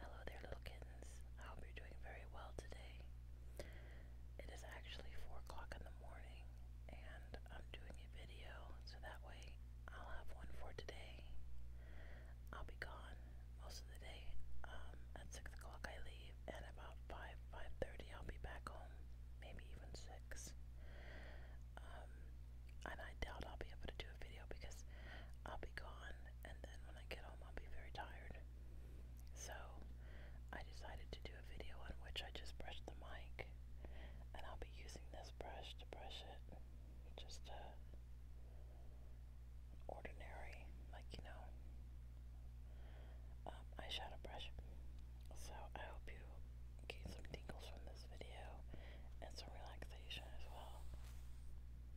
Hello there, little kittens. I hope you're doing very well today. It is actually 4 o'clock in the morning, and I'm doing a video so that way I'll have one for today. I'll be gone most of the day. Um, at 6 o'clock, I leave, and about 5 5:30, I'll be back home, maybe even 6. Um, and I doubt I'll be able to video because I'll be gone and then when I get home I'll be very tired. So I decided to do a video on which I just brushed the mic and I'll be using this brush to brush it. Just a uh, ordinary, like you know, um, eyeshadow brush. So I hope you get some tingles from this video and some relaxation as well.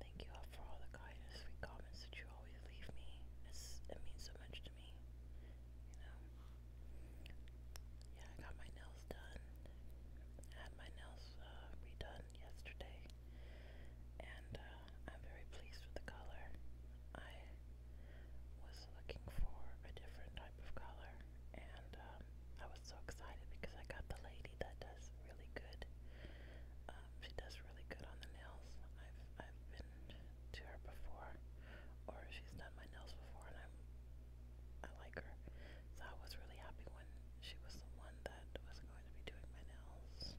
Thank you all for all the kind sweet comments that you always leave me. it means so much to me. You know? Yeah, I got my nails done. had my nails uh, redone yesterday. And uh, I'm very pleased with the color. I was looking for a different type of color, and um, I was so excited because I got the lady that does really good. Um, she does really good on the nails. I've I've been to her before, or she's done my nails before, and I'm I like her. So I was really happy when she was the one that was going to be doing my nails.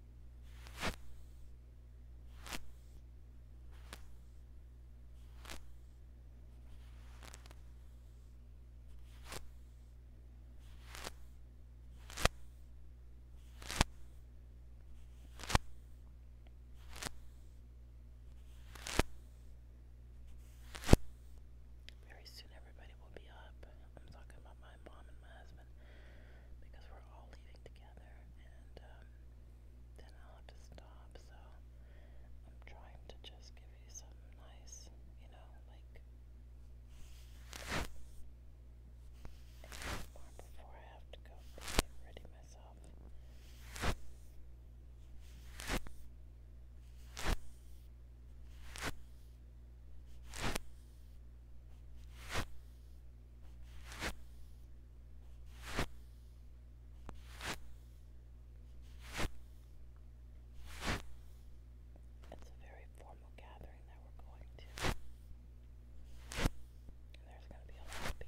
Very soon, everybody will be up. I'm talking about my mom and my husband because we're all leaving together, and um, then I'll have to stop. So I'm trying to just give you some nice, you know, like more before I have to go get ready myself. It's a very formal gathering that we're going to. And there's going to be a lot of people.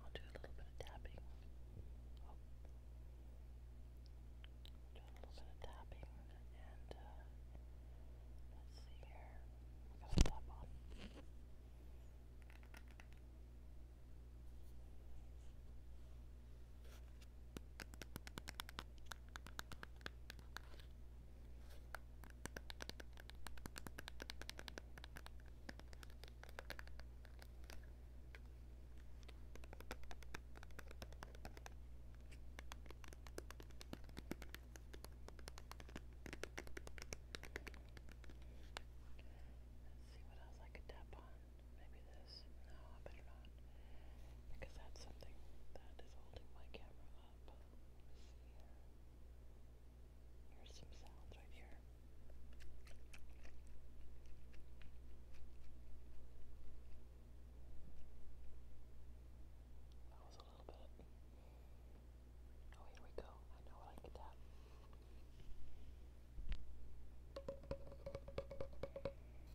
I'll do a little bit of tapping. Do a little bit of tapping and uh, let's see here. I got a tap on. Let's see what else I could tap on. Maybe this. No, I better not. Because that's something that is holding my camera up. There's some sounds right here. That was a little bit. Oh, here we go. I know I can tap.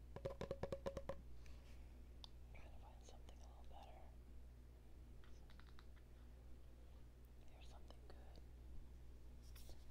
Trying to find something a little better. Here's something good. All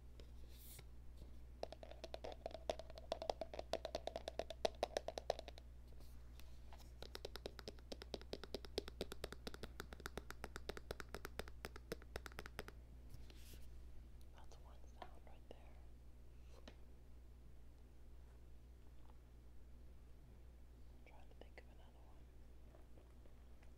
That's one sound right there. trying to think of another one.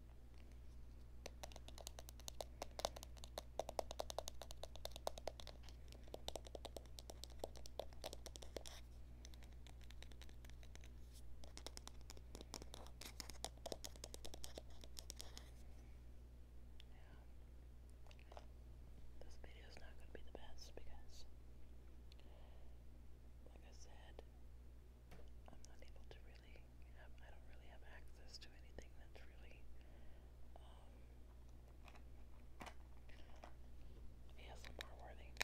This video is not going to be the best because, like I said, I'm not able to really I don't really have access to anything that's really um, ASMR worthy.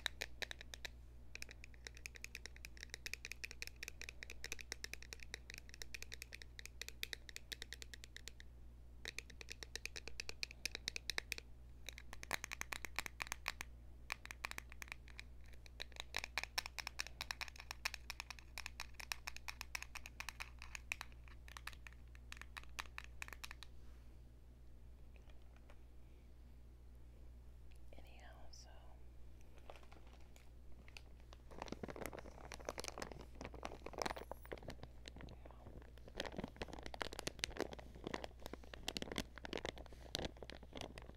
Anyhow, so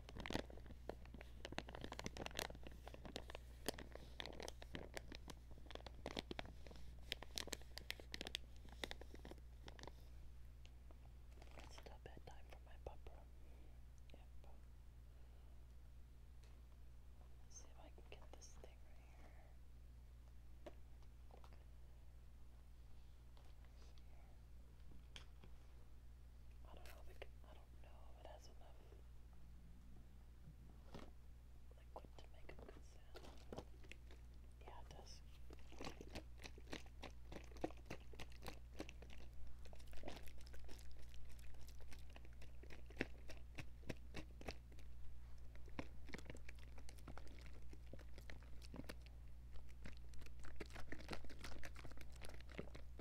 It's still bedtime for my papa. Yep. see if I can get this thing right here. I don't know if it, has enough liquid to make a good sound. Yeah, it does.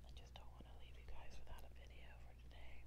I just don't want to leave you guys without a video for today.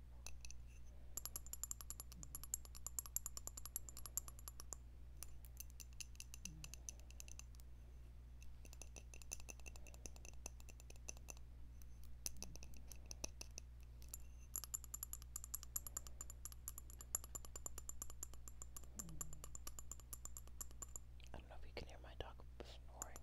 I don't know if you can hear my dog snoring.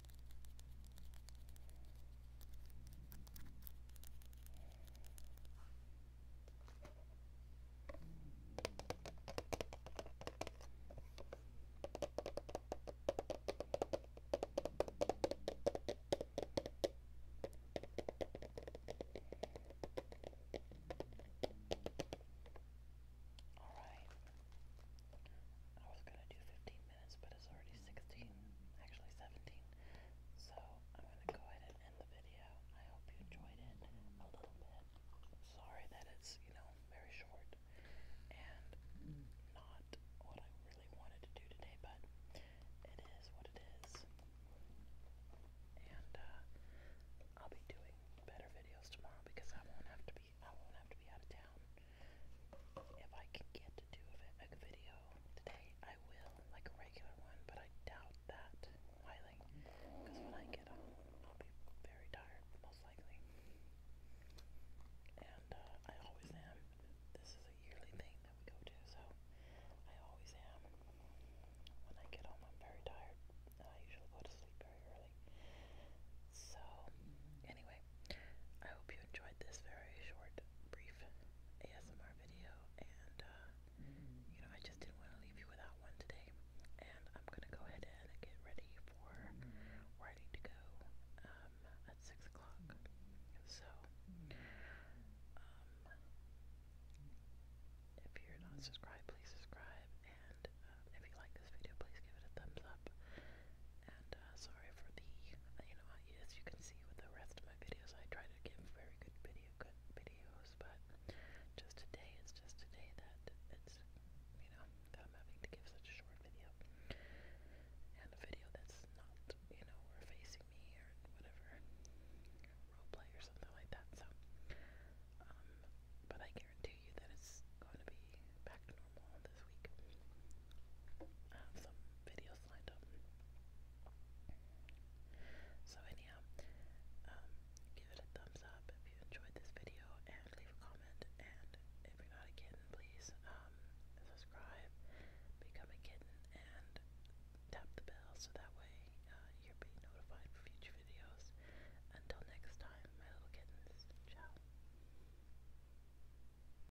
All right. I was going to do 15 minutes, but it's already 16, actually 17. So I'm going to go ahead and end the video. I hope you enjoyed it a little bit. Sorry that it's, you know, very short and not what I really wanted to do today, but it is what it is. And uh, I'll be doing better videos tomorrow because I won't have to be I won't have to be out of town. If I can get to do a, a video today, I will, like a regular one, but I doubt that highly, because when I get home, I'll be very tired, most likely. And uh, I always am. This is a yearly thing that we go to, so I always am. When I get home, I'm very tired, and I usually go to sleep very early. So, anyway, I hope you enjoyed this very short, brief ASMR video, and uh, you know, I just didn't want to leave you without one today. And I'm gonna go ahead and get ready for ready to go um, at six o'clock. So, um, if you're not subscribed, please subscribe, and um, if you like this video, please give it a thumbs up. And uh, sorry for the, you know, as you can see with the rest of my videos, I try to give very good video, good videos, but just today, it's just today that it's, you know, that I'm having to give such a short video. And a video that's not, you know, or facing me or whatever, roleplay or something like that, so, um, but I guarantee you that it's going to be back to normal this week. I have some videos lined up. So anyhow, um, give it a thumbs up if you enjoyed this video and leave a comment. And if you're not a kitten, please um, subscribe, become a kitten, and tap the bell so that way uh, you'll be notified for future videos. Until next time, my little kittens, ciao.